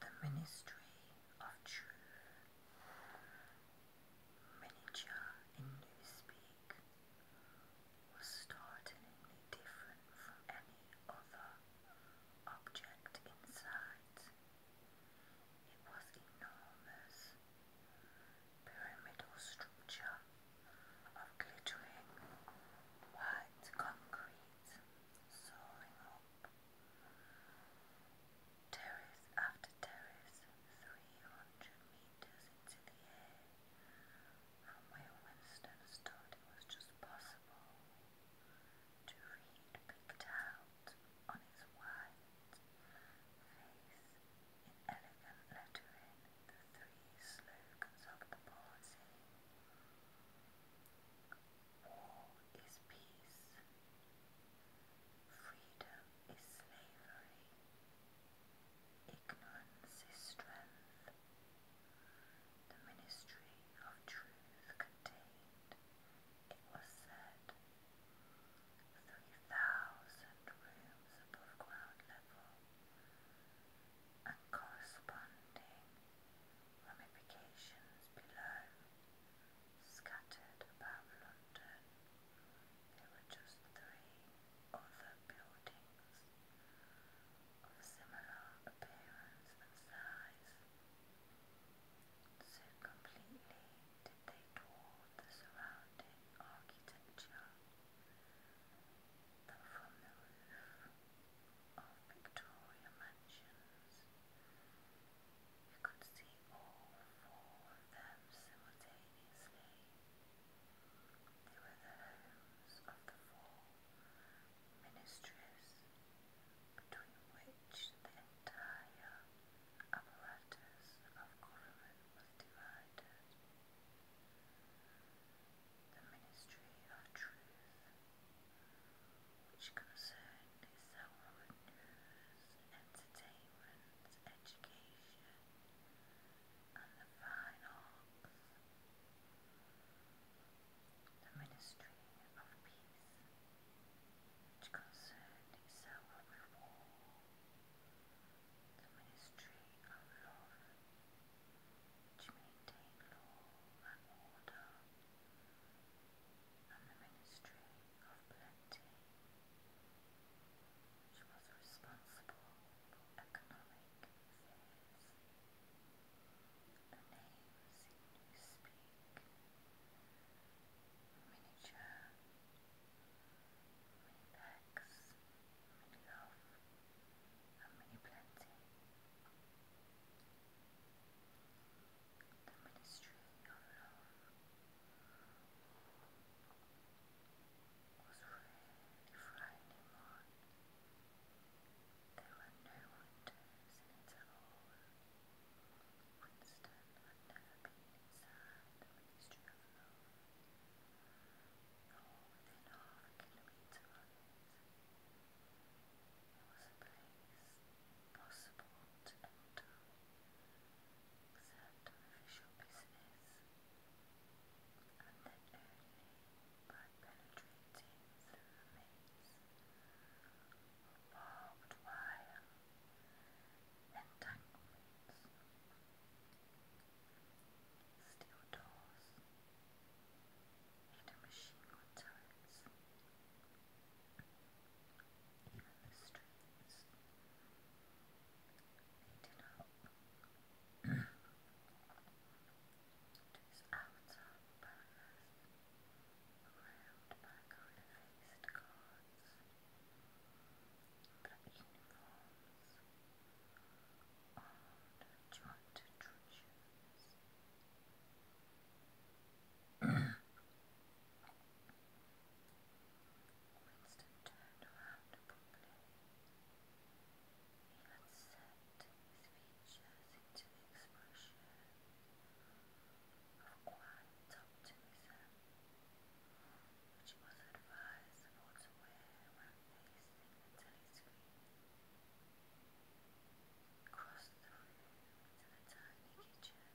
The Ministry of Truth, miniature in Newspeak, was startlingly different from any other object in It was enormous, pyramidal structure of glittering white concrete soaring up. Terrace after terrace, 300 metres into the air, from where Winston it was just possible to read picked out on his white face in elegant lettering the three slogans of the War is peace, freedom is slavery, ignorance is strength. The Ministry of Truth contained, it was said, 3,000 rooms above ground level and corresponding ramifications below, scattered about London. There were just three other buildings of similar appearance and size. So completely did they dwarf the surrounding architecture that the roof of Victoria Mansions you could see all four of them simultaneously. They were the homes of the four ministries between which the entire apparatus of government was divided. The ministry of truth, which concerned itself with news, entertainment, education, and the fine The ministry of peace, which concerned itself with war the ministry of love, which maintain law and order, and the ministry of plenty, which was responsible for economic affairs. The names in Newspeak, miniature many packs, many love, and many plenty. The ministry was really frightening one. There were no winters in it at all. Winston had never been inside the ministry of love within half it. was a possible to enter except on official business, and then only by penetrating through maze of barbed entanglements, steel doors, hidden machine gun turrets, streets leading up to his faced guards the uniforms and joint treasures. Winston turned around abruptly. He had set his features into the expression of quiet optimism which was the room to the tiny kitchen by leaving the meal tray this time of day. He had sacrificed his lunch in the canteen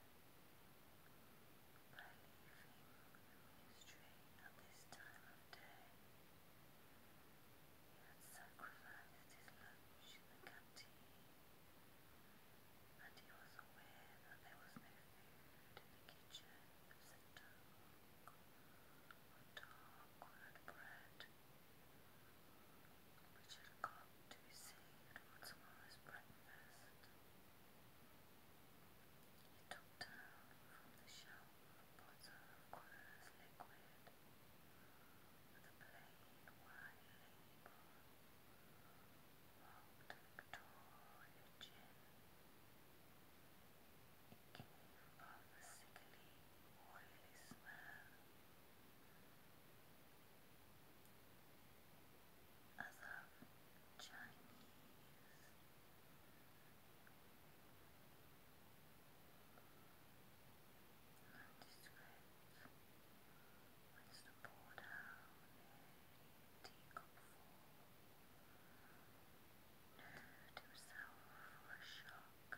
and he was aware that there was no food in the kitchen except dark or dark-coloured bread, which had got to be saved for breakfast. He took down from the shelf a bottle of colourless liquid with a plain white Hold toward a Chinese. Nondescript. What's the pour down himself a shock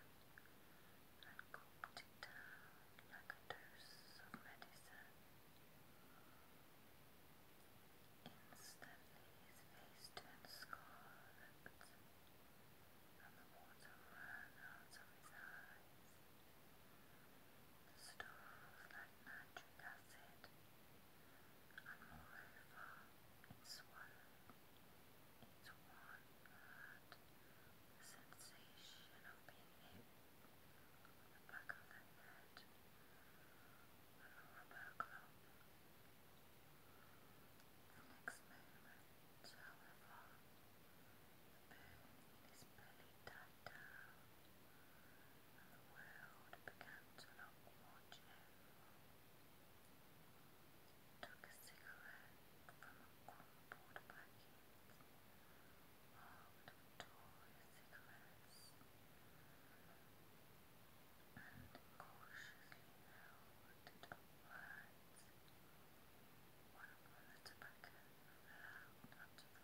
and gulped it down like a dose of medicine. Instantly his face turned scarlet and the water ran out of his eyes. Stores like nitric acid and moreover it's one it's one that sensation of being hit back of the head with a rubber The next moment, however, the burn in his sat down, the world began to look more cheerful. took a cigarette from a crumpled packet, marked with cigarettes, and cautiously held it upwards. One upon the tobacco fell out onto the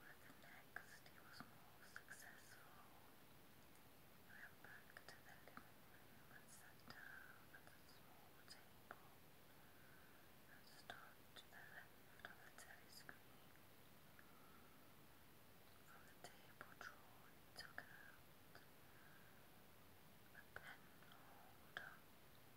but the next he was more successful. He went back to the living room at the small table and stood to the left of the telescreen. From the table drawer took a pen holder. And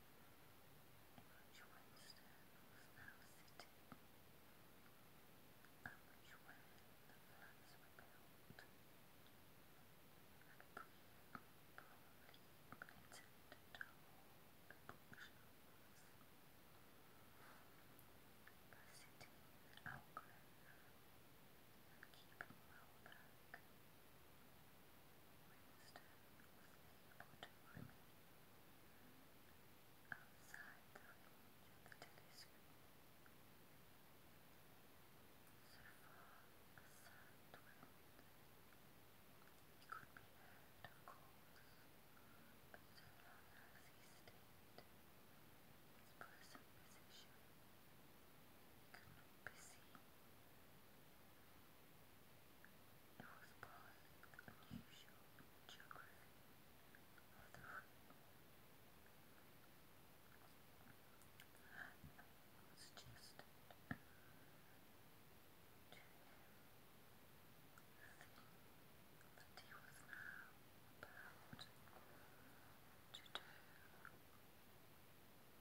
which way Stern was now sitting, and which way the flats were built, and Breen probably intended to hold the bookshelves. By sitting in the alcove and keeping well back, able to remain outside the range of the telescope. So far as sound went, he could be heard, of course, but so long as he stayed in his present position, he could not be seen. North Pole is unusual geography of the was suggested to he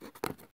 was now about to do.